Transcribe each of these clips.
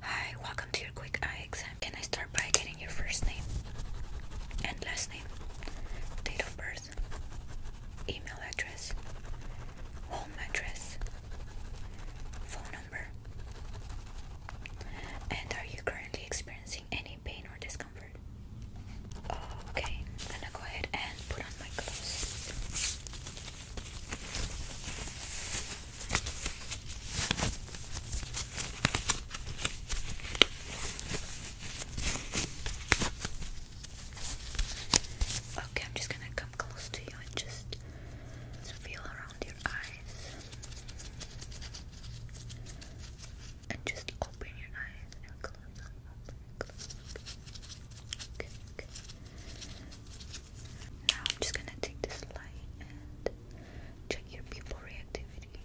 Hi, welcome to your quick eye exam. Can I start by getting your first name and last name, date of birth, email address, home address, phone number, and are you currently experiencing any pain or discomfort? Okay, I'm gonna go ahead and put on my gloves. Okay, I'm just gonna come close to you and just feel around your eyes. And just open your eyes and close them. Open, close, open. Now I'm just gonna take this light and check your pupil reactivity.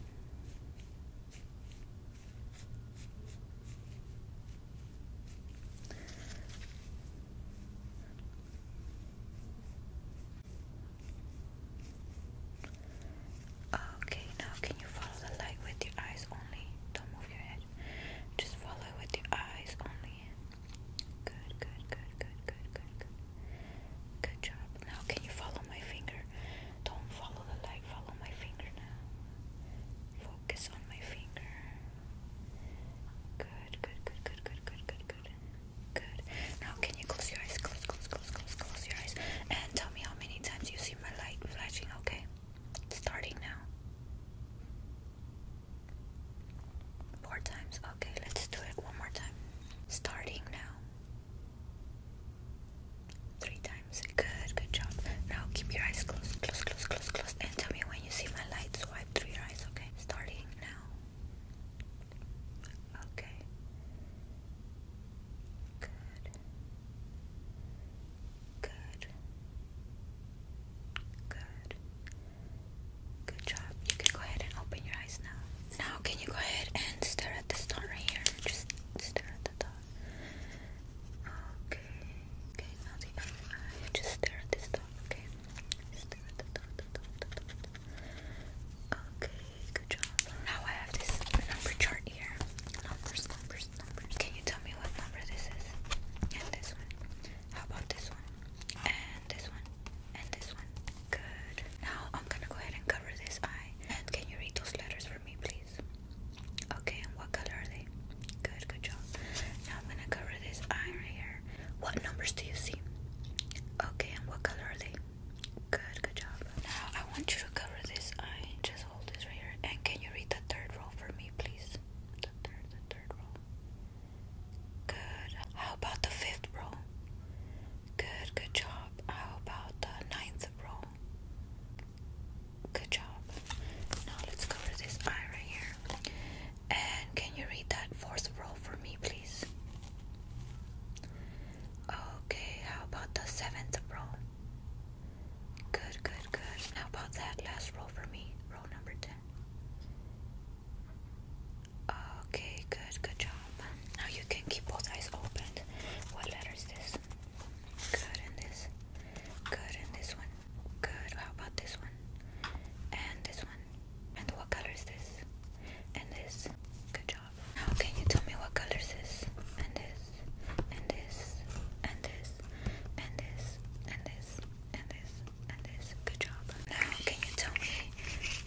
Okay, now can you follow the light with your eyes only? Don't move your head. Just follow with your eyes only brilliant. Good, good, good, good, good, good, good. Good job. Now, can you follow my finger? Don't follow the light, follow my finger now. Focus on my finger. Good, good, good, good, good, good, good, good. Good. Now, can you close your eyes? Close, close, close, close, close your eyes. And tell me how many times you see my light flashing, okay? Starting now. Four times. Okay, let's do it one more time. Starting now. Three times. Good, good job. Now keep your eyes closed, close, close, close, close, and tell me when you see my light. Swipe through your eyes, okay? Starting now. Okay. Good. Good. Good. Good job. You can go ahead and open your eyes now. Now, can you go ahead and stare at the star right here? Just stare at the star. Okay. Okay, now the other eye. Just stare at this dot, okay? Stare at the dot, dot, dot, dot, dot. Okay, good job. Now I have this number chart here. Numbers, number can you tell me what number this is? And this one. How about this one? And this one. And this one. Good. Now I'm gonna go ahead and cover this eye. And can you read those letters for me, please? Okay, and what color are they? Good, good job. Now I'm gonna cover this eye right here. What numbers do you see? Okay, and what color are they? Good, good job. Now I want you to cover this eye. Just hold this right here. And can you read the third row for me, please? the third, the third row. Good. How about the fifth row? Good, good job. How about the ninth row? Good job. Now let's cover this eye right here. And can you read that fourth row for me, please? Okay, how about the seventh row? Good, good, good. How about that last row for me, row number 10. Okay, good, good job. Now you can keep both eyes open. What letter is this? Good in this. Good in this one. Good. How about this one? And this one. And what color is this? And this. Good job. Now can you tell me what color is this? And this and this, and this, and this, and this, and this, and this. Good job. Now, can you tell me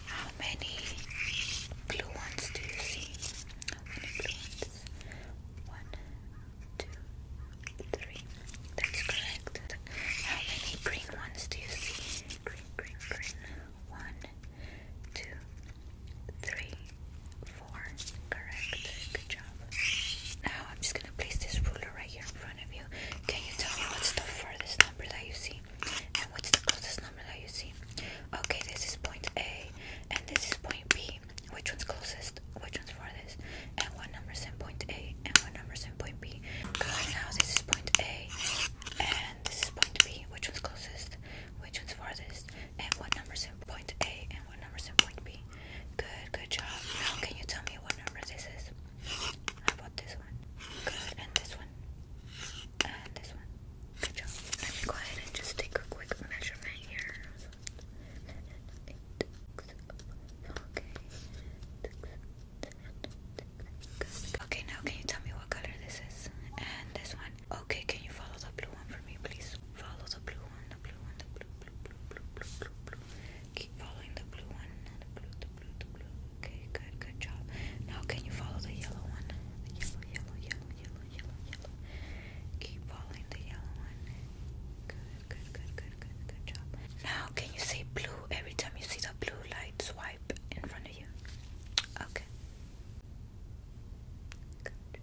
how many blue ones do you see? How many blue ones? One, two, three. That's correct. How many green ones do you see? Green, green, green. One, two, three, four. Correct. Good job. Now I'm just gonna place this ruler right here in front of you. Can you tell me what's the furthest number that you see? And what's the closest number that you see? Okay, this is point A and this is point B. Which one's closest? Which one's farthest? And what number's in point A and what number's in point B? Good, now this is point A and this is point B. Which one's closest? Which one's farthest? And what number's in point A what numbers it would be? Good, good job. Now, can you tell me what number this is? How about this one? Good, and this one? And this one? Good job. Let me go ahead and just take a quick measurement here. okay. Okay, now can you tell me what color this is? And this one? Okay, can you follow the blue one for me, please? Follow the blue one, the blue one, the blue, blue, blue, blue, blue, blue, blue. Keep following the blue one, the blue, the blue, the blue. Okay, good, good job. Now can you follow the yellow one? The yellow, yellow, yellow, yellow, yellow, yellow. Keep following the yellow one. Good, good, good, good, good, good job. Now can you say blue every time you see the blue light swipe in front of you? Okay. Good.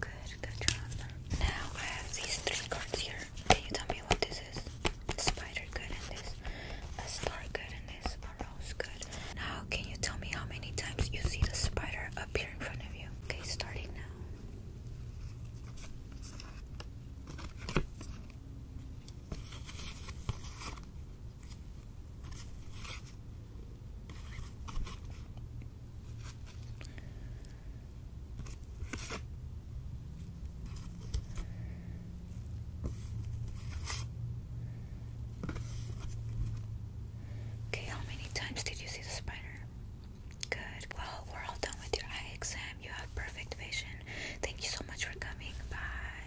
Good, good job. Now I have these three cards here. Can you tell me what this is? Spider good and this. A star good and this. A rose good. Now can you tell me how many times you see the spider appear in front of you? Okay, starting now. Okay, how many times did you see the spider? Good. Well, we're all done with your eye exam. You have perfect vision. Thank you so much for coming. Bye.